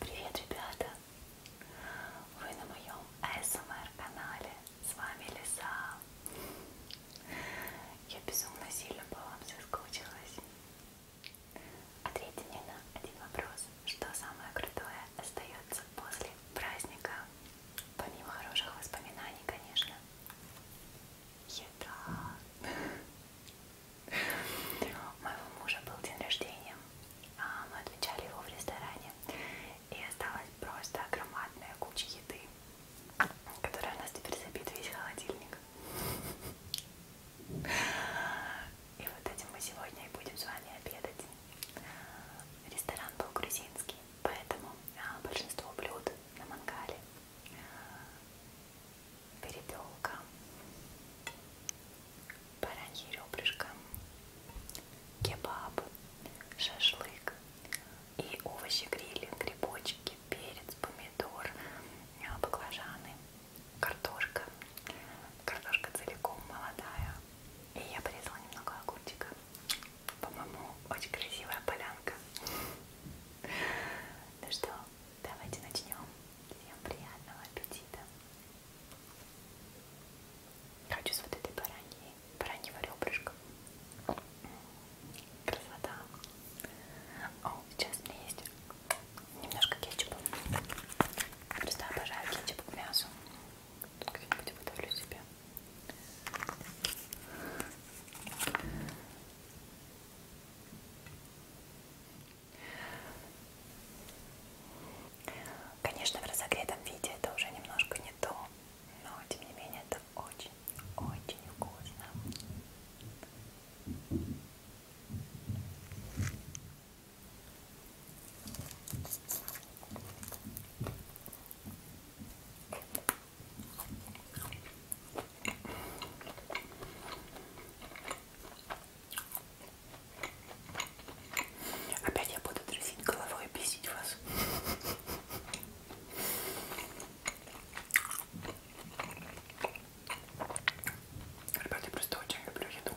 Привет, ребята! Вы на моем ASMR-канале. С вами Лиса. Я безумно сильно по вам соскучилась. Ответьте мне на один вопрос. Что самое крутое остается после праздника? Помимо хороших воспоминаний, конечно. Еда. У моего мужа был день рождения, а, мы отмечали его в ресторане, и осталась просто громадная куча еды, которая у нас теперь забит весь холодильник. И вот этим мы сегодня и будем с вами обедать. Ресторан был грузинский, поэтому а, большинство блюд на мангале перепелка, бараньи ребрышко, кебаб, шашлык и овощи грили, грибочки, перец, помидор, а, баклажаны, картошка, картошка целиком молодая. И я порезала немного огурчика. По-моему, очень красивая полянка. Ну что, Давайте начнем. Всем приятного аппетита. Хочу с вот этой бараньей, бараньего ребрышка. Красота. О, сейчас у меня есть немножко кетчупа. Просто обожаю кетчуп к мясу. Тут как-нибудь выдавлю себе. Конечно, в разогретом виде это уже немножко не то, но тем не менее это очень-очень вкусно. Опять я буду трясить головой и бесить вас. Ребята, я просто очень люблю еду.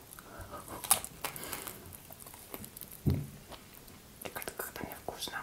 И как-то когда мне вкусно.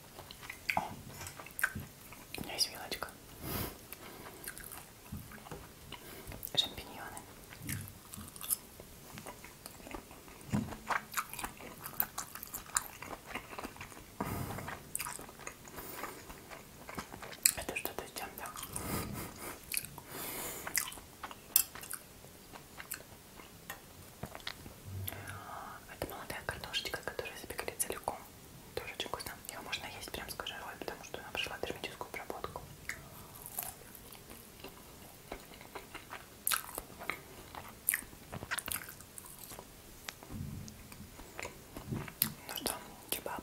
О, у меня есть вилочка. Шампиньоны. Это что-то с чем-то. Это молодая картошечка, которая запекли целиком. Тоже очень вкусно. Ее можно есть прям с кожурой, потому что она прошла термическую обработку. Ну что, кебаб.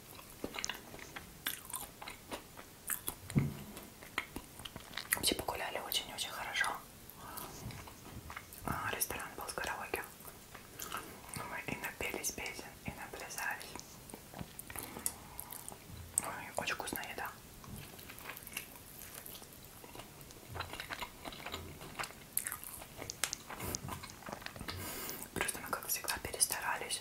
Все погуляли очень-очень хорошо. А, ресторан был с караоке. Мы и напелись песен, и наплясались. Ой, ну, очень вкусная еда. Просто мы, как всегда, перестарались.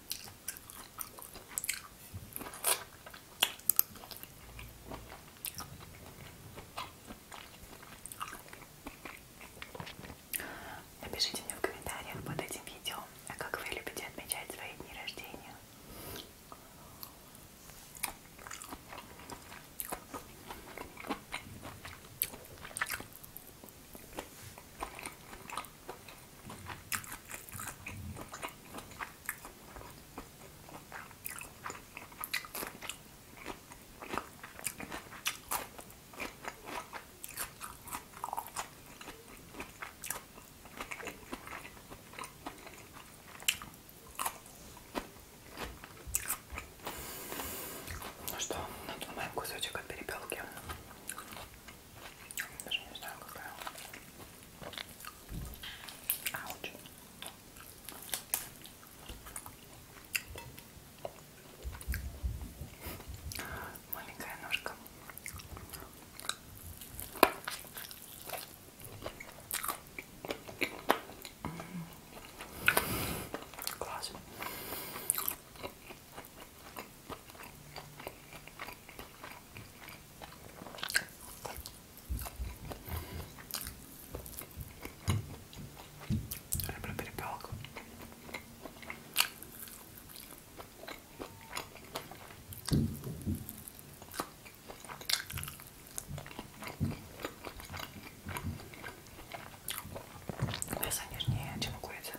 Напишите мне в комментариях под этим видео, а как вы любите отмечать свои дни рождения. Ну что, надумаем кусочек от перепелки. Даже не знаю, какая. Ауч. Маленькая ножка. Класс. Люблю перепелку. Мясо нежнее, чем курица.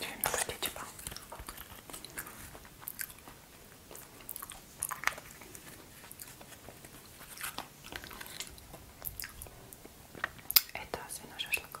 Я именно хочу, типа. Это свиной шашлык.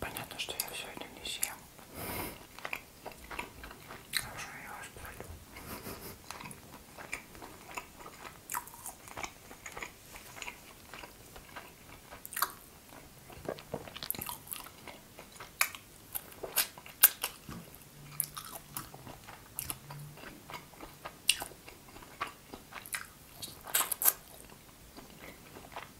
Понятно, что я все это не съем. Хорошо, я вас полю.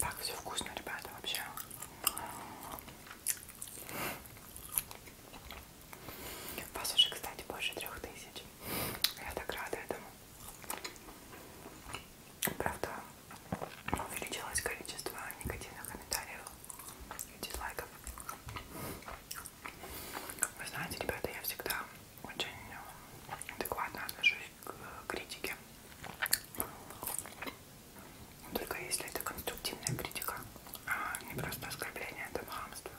Так, все вкусно, ребята, вообще. Вас уже, кстати, больше трех тысяч. Я так рада этому. Правда, увеличилось количество негативных комментариев и дизлайков. Вы знаете, ребята, я всегда очень э, адекватно отношусь к критике. Только если это конструктивная критика, а не просто оскорбление, это хамство.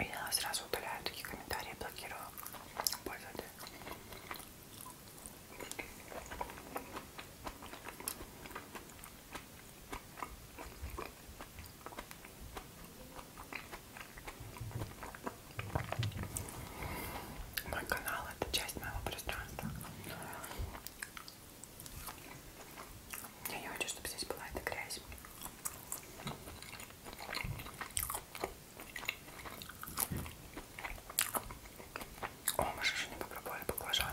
Я сразу удаляю такие комментарии, блокирую пользователя. Мой канал это часть моего пространства. Я не хочу, чтобы здесь была эта грязь. О, мы же еще не попробовали баклажан.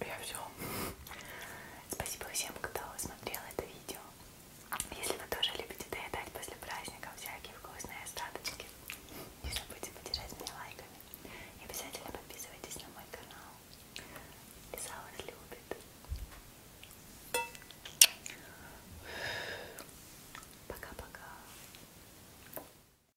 Я все. Спасибо всем, кто смотрел это видео. Если вы тоже любите доедать после праздника всякие вкусные остаточки, не забудьте поддержать меня лайками. И обязательно подписывайтесь на мой канал. Лиза вас любит. Пока-пока.